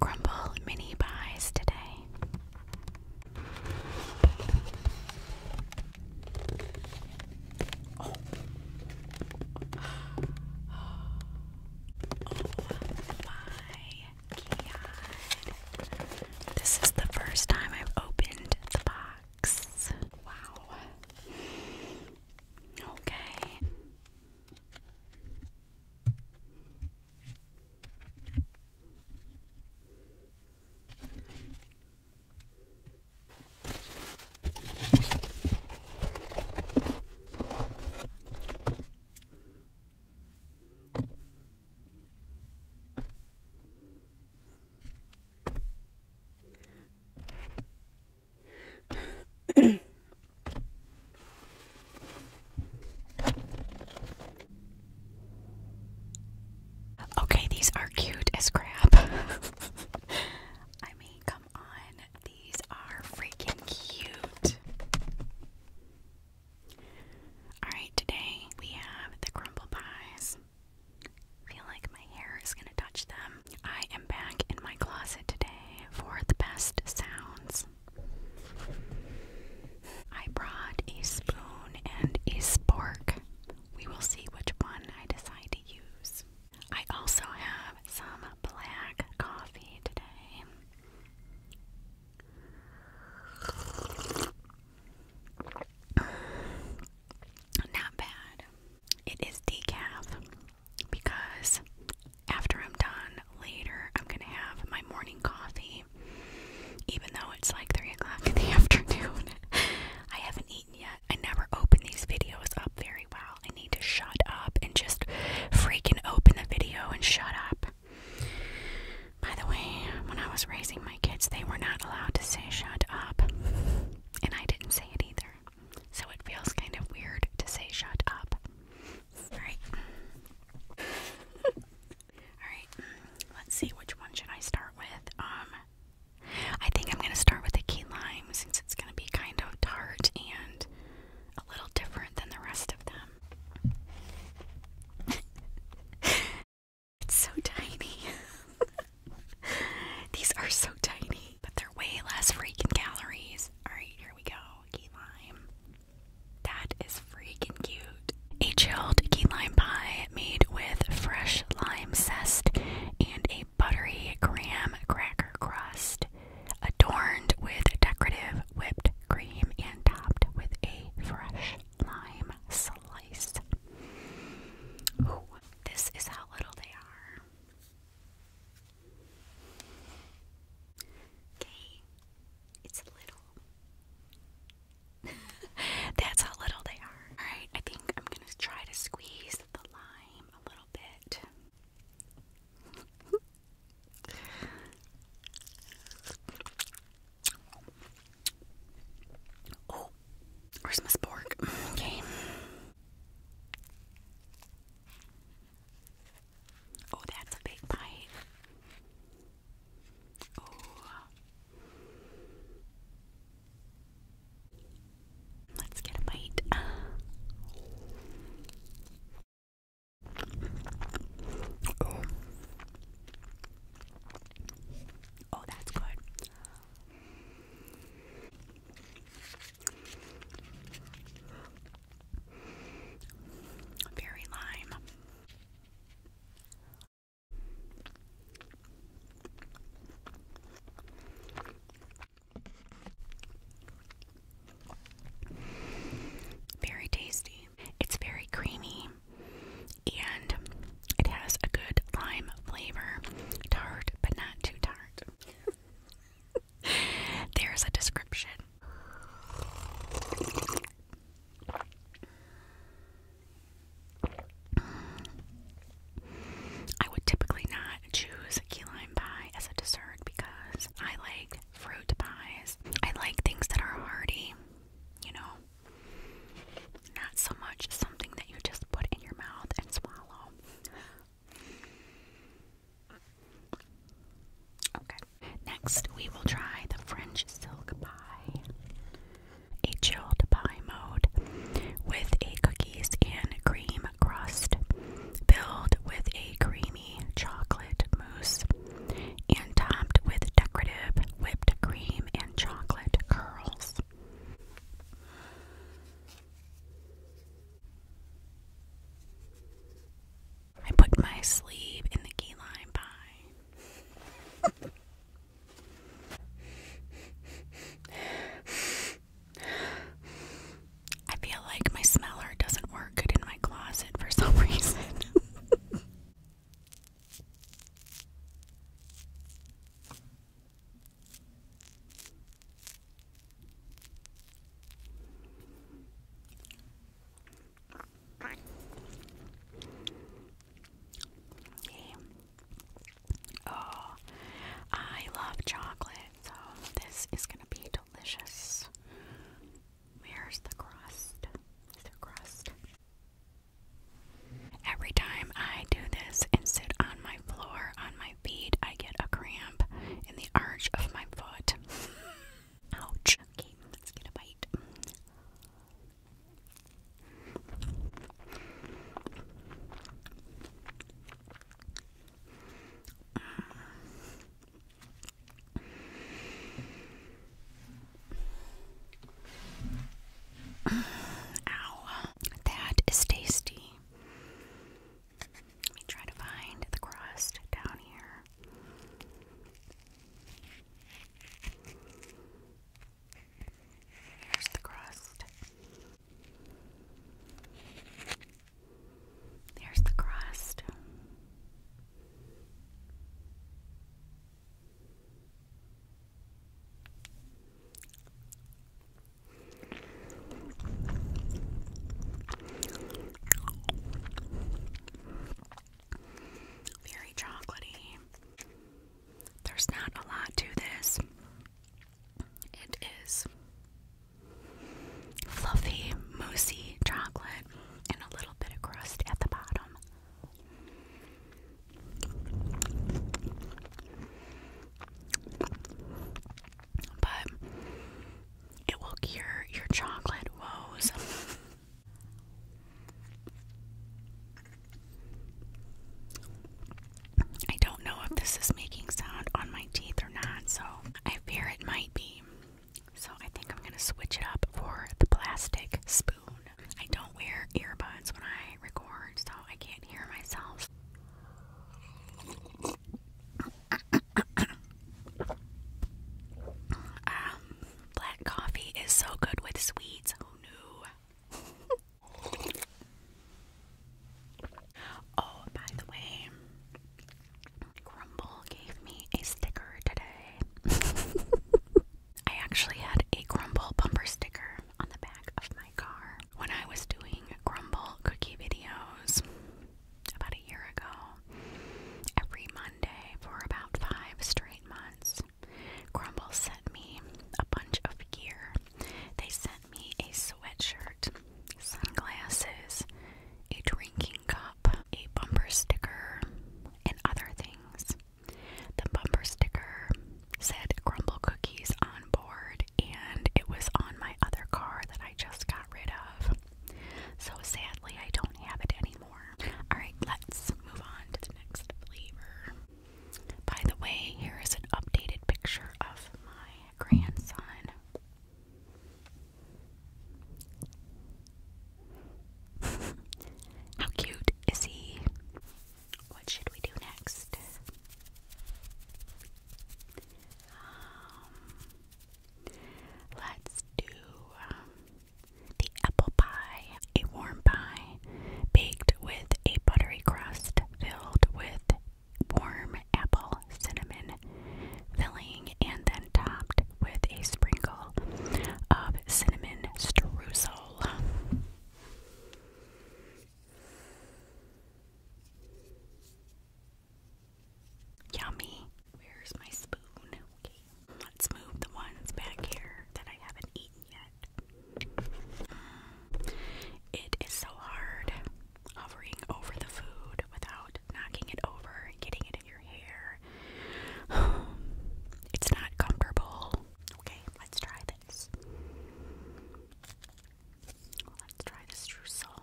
Crumble mini pies today. Oh. oh this is the first time I've opened the box. Wow. Okay okay, these are cute as crap. I mean, come on. These are freaking cute. Alright, today we have the crumble pies. feel like my hair is gonna touch them. I am back in my closet today for the best sounds. I brought a spoon and a spork. We will see which one I decide to use. I also have some black coffee today. Not bad. It is decaf because after I'm done later, I'm gonna have my morning coffee. Even though it's like 3 o'clock in the afternoon, I haven't eaten yet. I never open these videos up very well. I need to shut up and just freaking open the video and shut up. By the way, when I was raising my kids, they were not allowed to say shut up. And I didn't say it either. So it feels kind of weird to say shut up. Alright. Alright, let's see which one should I start with. Um I think I'm gonna start with the key lime since it's gonna be kind of tart and a little different than the rest of them. it's so tiny. These are so tiny, but they're way less freaking calories. Alright, here we go. Key lime. That is freaking cute. A chilled key lime pie made with fresh lime zest and a buttery graham cracker crust, adorned with decorative whipped cream and topped with a fresh lime slice. this is how little they are. Okay, it's little. That's how little they are. Alright, I think I'm gonna try to squeeze the lime a little bit. Oh, where's my spork? Okay. Oh, that's a big bite. Oh. Let's get a bite. Oh. oh. that's good. Very lime. Very tasty. It's very creamy and it has a good lime flavor. Tart, but not too tart. There's a description. I would typically not choose a key lime pie as a dessert because I like fruit pies. I like things that are hearty you know, not so much something that you just put in your mouth and swallow. Okay, next we will try the French silk pie, a chilled pie mode with a cookies and cream crust filled with a creamy chocolate mousse and topped with decorative whipped cream and chocolate curls. I put my sleeve in the key lime I feel like my smeller doesn't work in my closet for some reason. Oh, I love chocolate, so this is going to be delicious. Where's the crust? Is crust? Every time I do this and sit on my floor on my feet, I get a cramp in the arch of my foot. Ouch. Okay, let's get a bite. Ow, that is tasty. Let me try to find the crust down here. Here's the crust. There's the crust. Very chocolatey. There's not a lot to this. It is fluffy, mousy chocolate and a little bit of crust at the bottom. But it will cure your chocolate woes. I don't know if this is making sound on my teeth or not, so I fear it might be. So I think I'm gonna switch it up for the plastic spoon. I don't wear earbuds when I record, so I can't hear myself. Um, black coffee is so good with sweets. oh, oh by the way, Grumble gave me a sticker today. I actually had a Grumble bumper sticker on the back of my car when I was doing Grumble cookie videos about a year ago. Every Monday for about five straight months, Grumble sent me a bunch of gear. They sent me a sweatshirt, sunglasses, a drinking cup, a bumper sticker, and other things. The bumper sticker said crumble cookies on board, and it was on my other car that I just got rid of. So sadly, I don't have it anymore. Alright, let's move on to the next flavor. By the way, here is an updated picture of my grandson. How cute is he? What should we do next? Um, let's do um, the apple pie, a warm pie baked with a buttery crust filled with warm apple cinnamon filling and topped with a sprinkle of cinnamon streusel. Yummy. Where's my spoon? let's move the ones back here that I haven't eaten yet. Mm, it is so hard hovering over the food without knocking it over and getting it in your hair. It's not comfortable. Okay, let's try this. Let's try this streusel.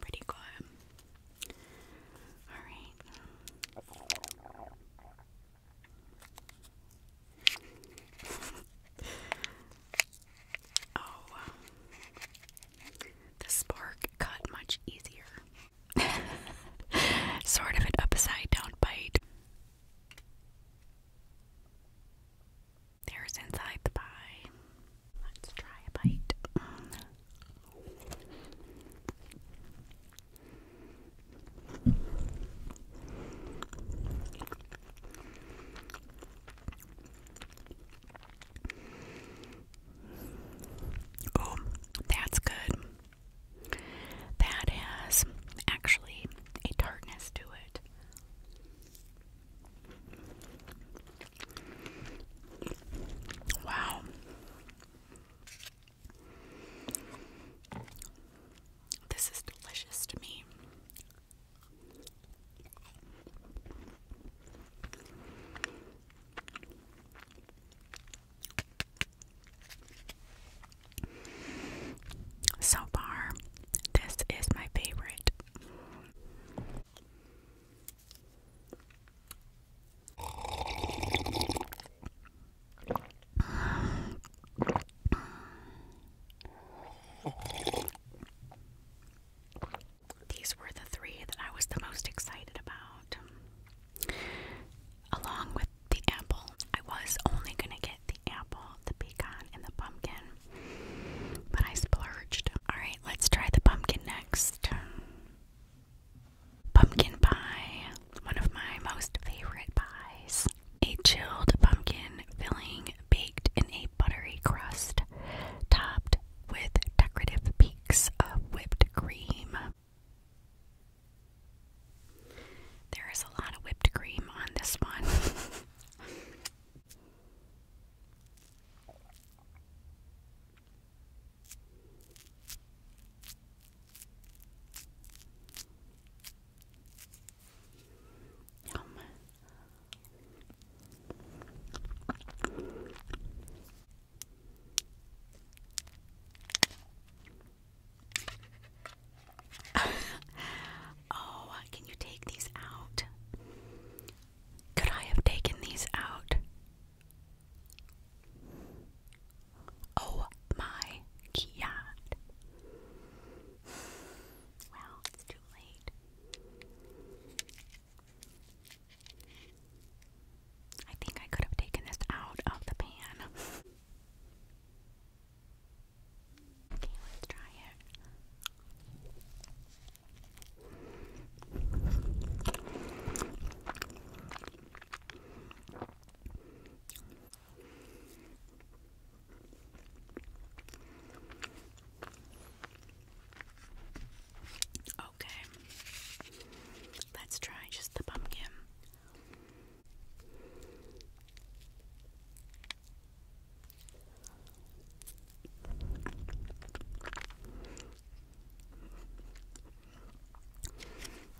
Pretty good. All right. oh, the spark cut much easier. sort of an upside down bite. There's inside the pie. Let's try a bite. Oh, that's good. That has actually a tartness to it. Wow. This is delicious to me. So far, this is my favorite. These were the three that I was the most excited about. Along with the apple, I was only going to get the apple, the pecan, and the pumpkin, but I splurged. Alright, let's try the pumpkin next. Pumpkin pie, one of my most favorite pies. A chilled pumpkin filling baked in a buttery crust, topped with decorative peaks of whipped cream. There is a lot of whipped cream on this one. oh, can you take these out? Could I have taken these out? Oh my God. Well, it's too late. I think I could have taken this out of the pan. okay, let's try it. Okay, let's try just the pumpkin.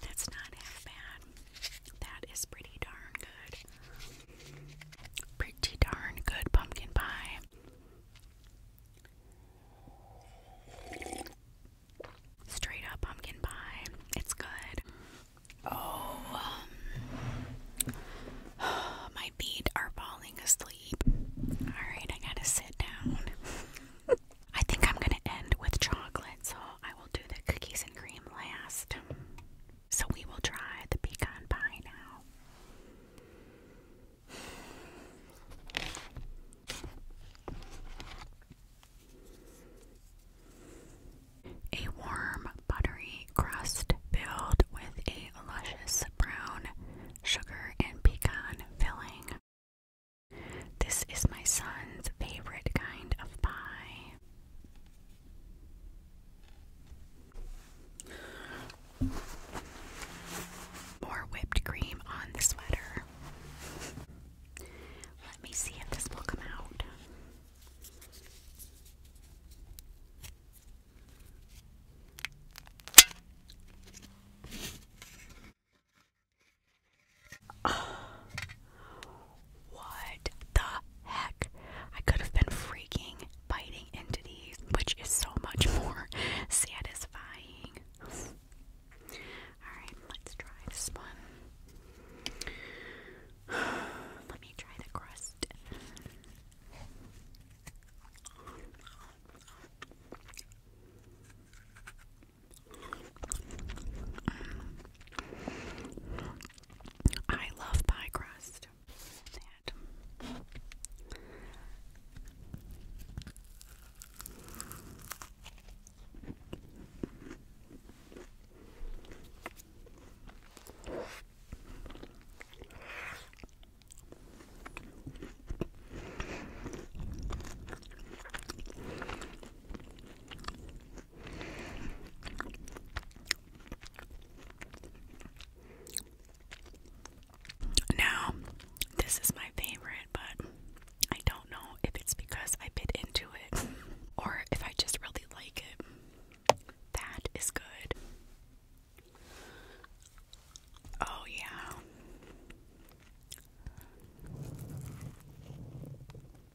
That's not bad. That is pretty darn good. Pretty darn good pumpkin pie. Straight up pumpkin pie. It's good. Oh, um, my feet are falling asleep. Alright, I gotta sit down. I think I'm gonna end with chocolate, I will do the cookies and cream last. So we will try the pecan pie now. A warm, buttery crust filled with a luscious brown sugar and pecan filling. This is my son's favorite kind of pie. More whipped cream on the sweater. Let me see if this will come out. what the heck? I could have been freaking biting into these, which is so much more satisfying. Alright, let's try this one. Let me try the crust. I love pie crust. Now, this is my favorite, but I don't know if it's because I bit into it or if I just really like it. That is good. Oh, yeah.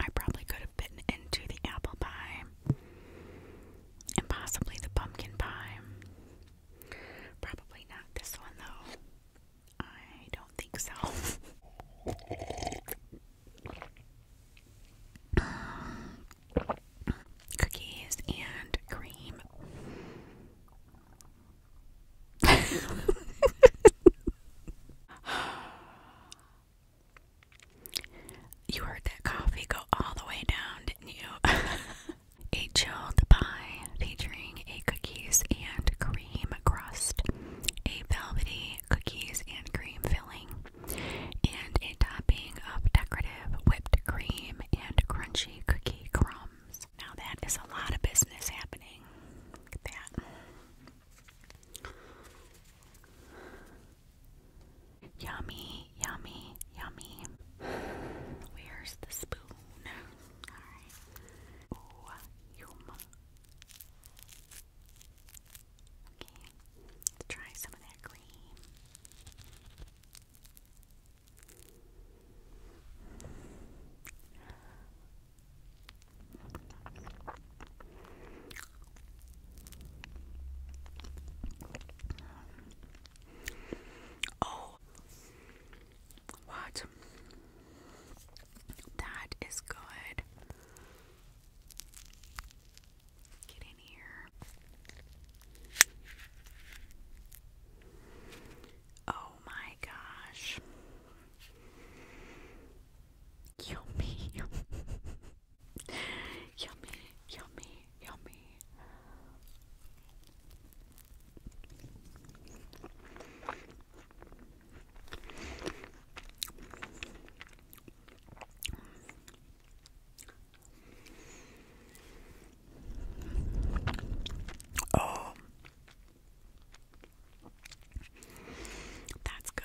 I probably could have bitten into the apple pie and possibly the pumpkin pie. Probably not this one though. I don't think so. Cookies and cream. You heard that coffee go all the way down, didn't you? a chilled pie featuring a cookies and cream crust, a velvety cookies and cream filling, and a topping of decorative whipped cream and crunchy cookie crumbs. Now that is a lot of business happening. Look at that. Yummy, yummy, yummy. Where's the spoon? Alright. Oh, yum. Okay, let's try some of that cream. Oh, what? That is good. Get in here. Oh my gosh. Yummy, yummy, yummy, yummy. Oh, that's good.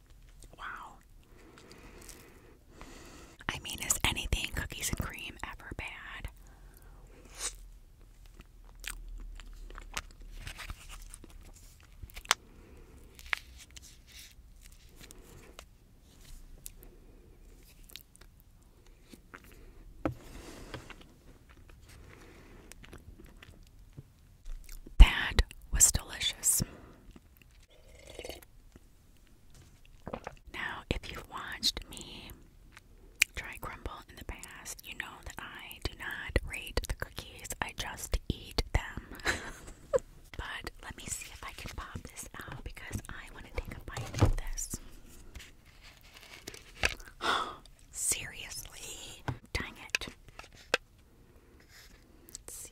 Wow. I mean, is anything cookies and cream ever bad? That was delicious. Now, if you've watched me try crumble in the past, you know that I do not rate the cookies, I just eat them. but let me see if I can pop this out because I want to take a bite of this. Seriously? Dang it. Let's see.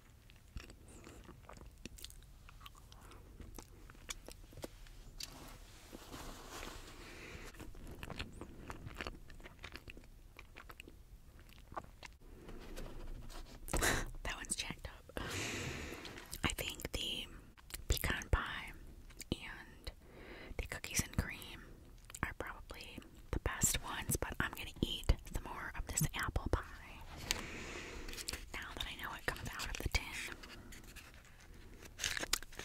that one's jacked up. I think the pecan pie and the cookies and cream are probably the best ones, but I'm gonna eat some more of this apple pie now that I know it comes out of the tin.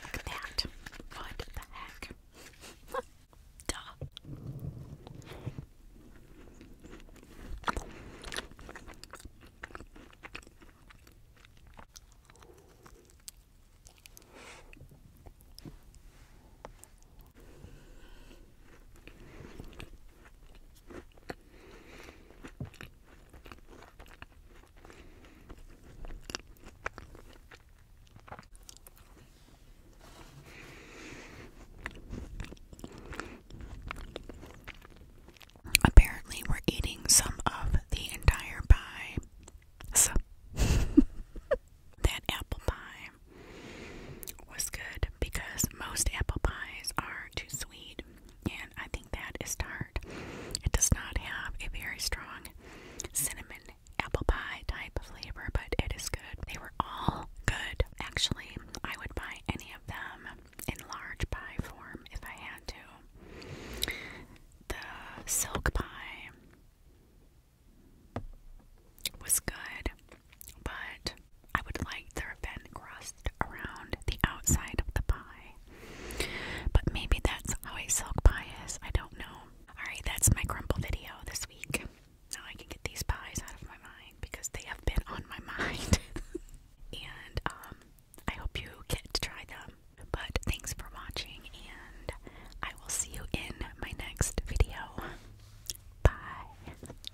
Look at that. What the heck? Duh. Apparently, we're eating some of the entire pie. that apple pie was good because most apple pies are too sweet, and I think that is tart. It does not have a very strong cinnamon apple pie type of flavor, but it is good. They were all good. Actually, I would buy any of them in large pie form if I had to. The silk pie was good but I would like there have been crust around the outside of the pie. But maybe that's how a silk pie is. I don't know. Alright, that's my crumble video this week. Now I can get these pies out of my mind because they have been on my mind. and um I hope you get to try them. But thanks for watching and I will see you in my next video. Bye.